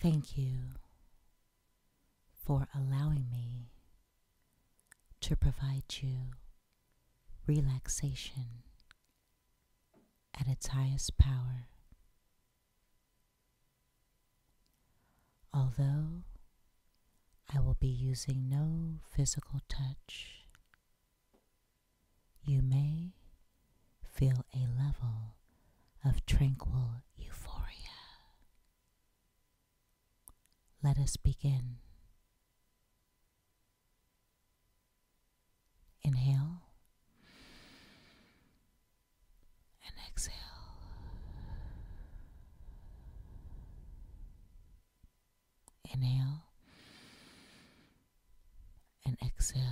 Thank you for allowing me to provide you relaxation at its highest power. Although I will be using no physical touch, you may feel a level of tranquil euphoria. Let us begin. Inhale and exhale. Inhale and exhale.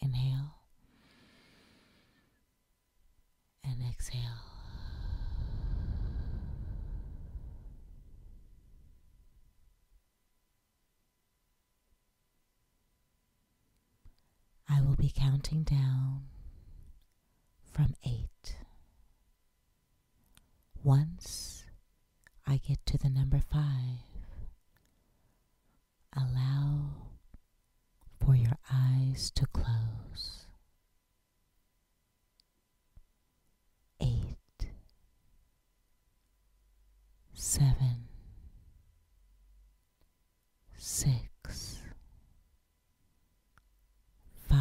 Inhale and exhale. I will be counting down from eight. Once I get to the number five, allow for your eyes to close. Eight, seven, six, five,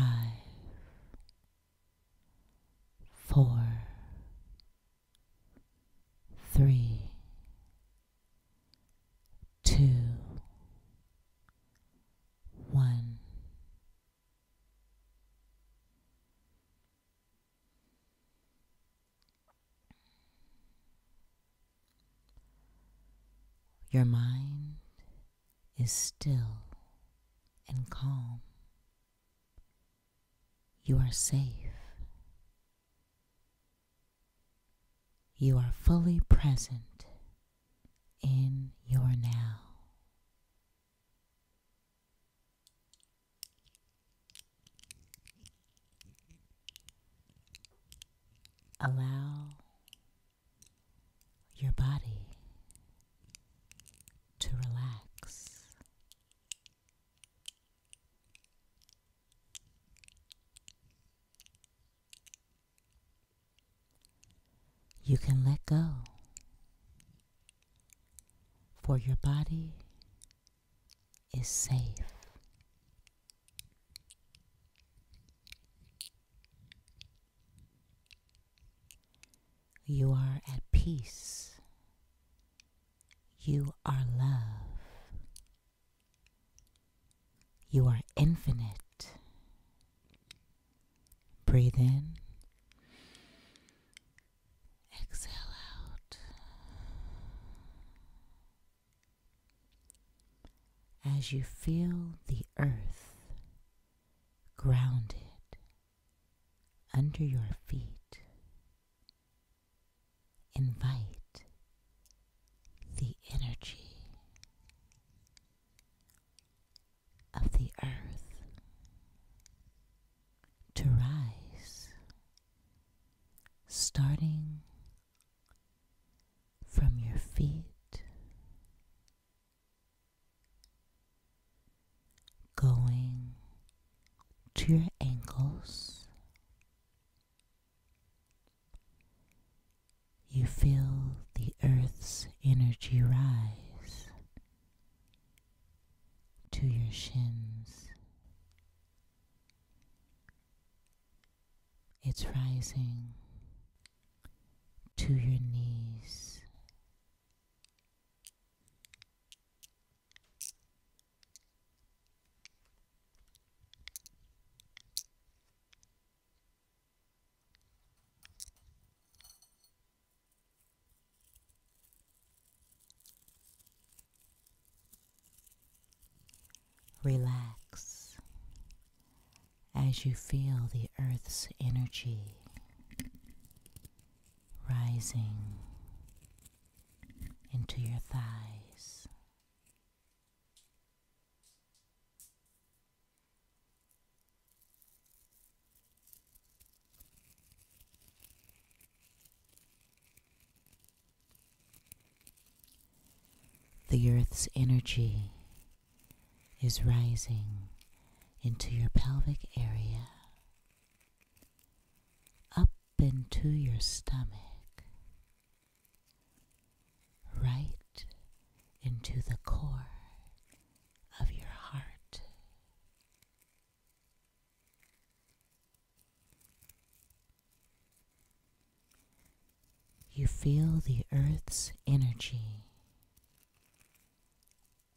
four, three, two, one. Your mind is still and calm. You are safe. You are fully present in your now. Allow your body to relax. You can let go for your body is safe. You are at peace. You are love. You are infinite. Breathe in. Exhale out. As you feel the earth grounded under your feet, invite the energy of the earth to rise, starting from your feet, going to your ankles. You feel the earth's energy rise to your shins. It's rising to your knees. Relax as you feel the earth's energy rising into your thighs. The earth's energy is rising into your pelvic area, up into your stomach, right into the core of your heart. You feel the earth's energy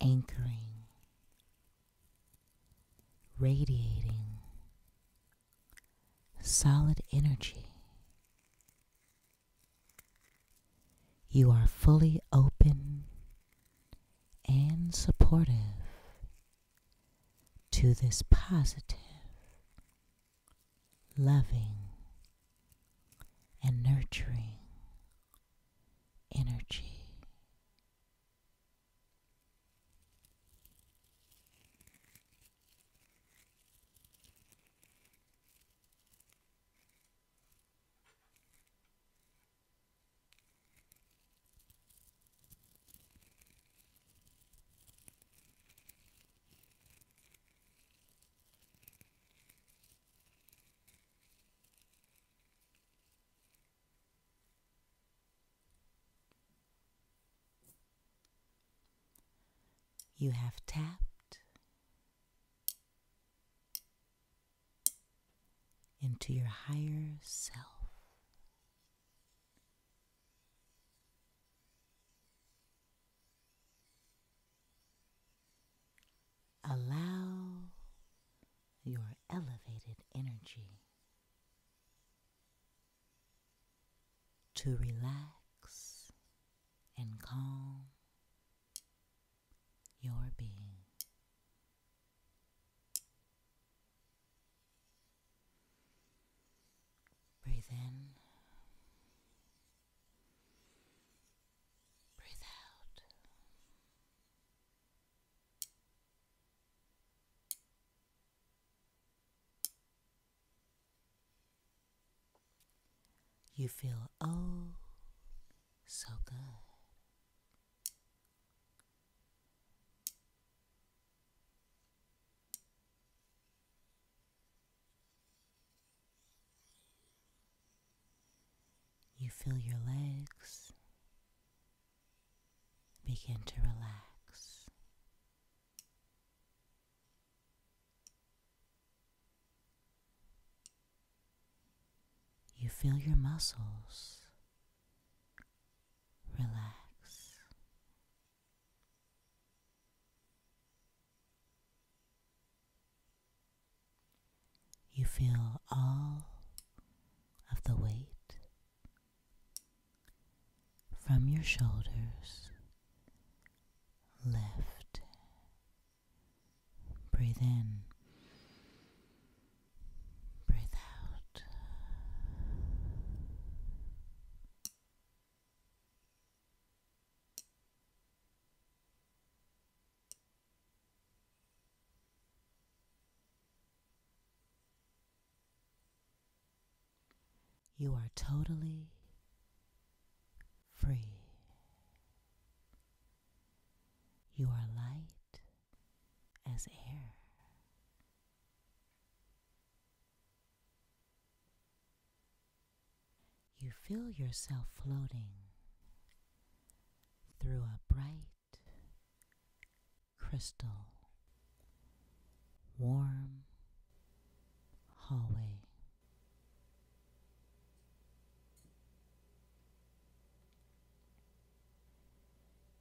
anchoring, radiating solid energy. You are fully open and supportive to this positive, loving, and nurturing energy. You have tapped into your higher self. Allow your elevated energy to relax and calm your being. Breathe in. Breathe out. You feel oh so good. You feel your legs begin to relax. You feel your muscles relax. You feel all of the weight from your shoulders lift Breathe in. Breathe out. You are totally free. You are light as air. You feel yourself floating through a bright, crystal, warm hallway.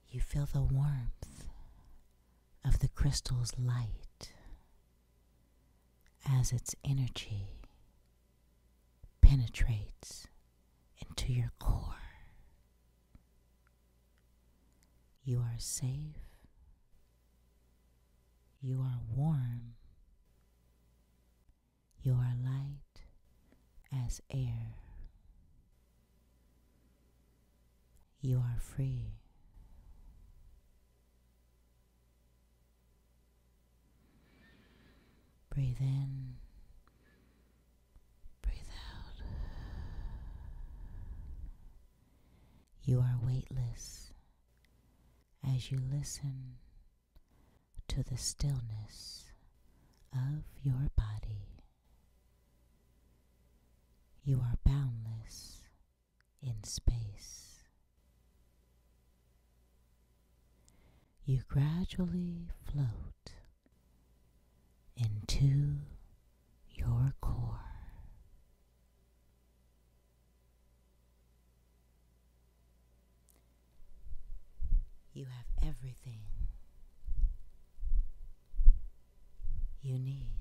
You feel the warmth of the crystal's light as its energy penetrates into your core. You are safe. You are warm. You are light as air. You are free. Breathe in. Breathe out. You are weightless as you listen to the stillness of your body. You are boundless in space. You gradually float into your core. You have everything you need.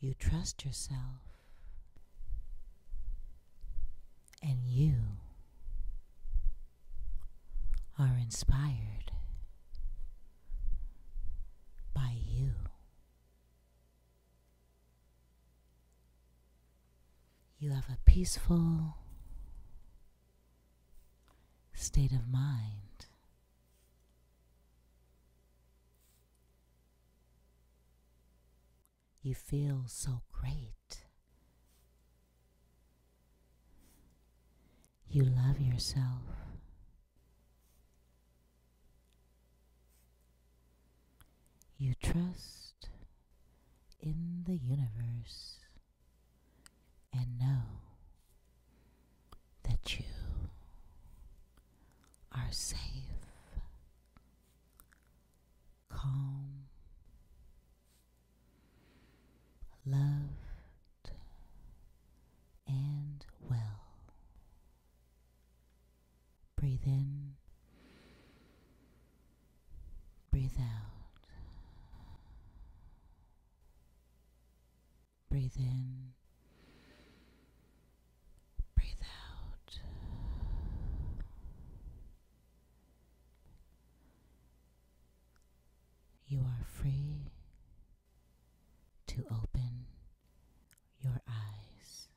You trust yourself and you are inspired by you. You have a peaceful state of mind. You feel so great. You love yourself. You trust in the universe and know that you are safe calm, loved, and well. Breathe in, breathe out, breathe in. Breathe out. You are free to open your eyes.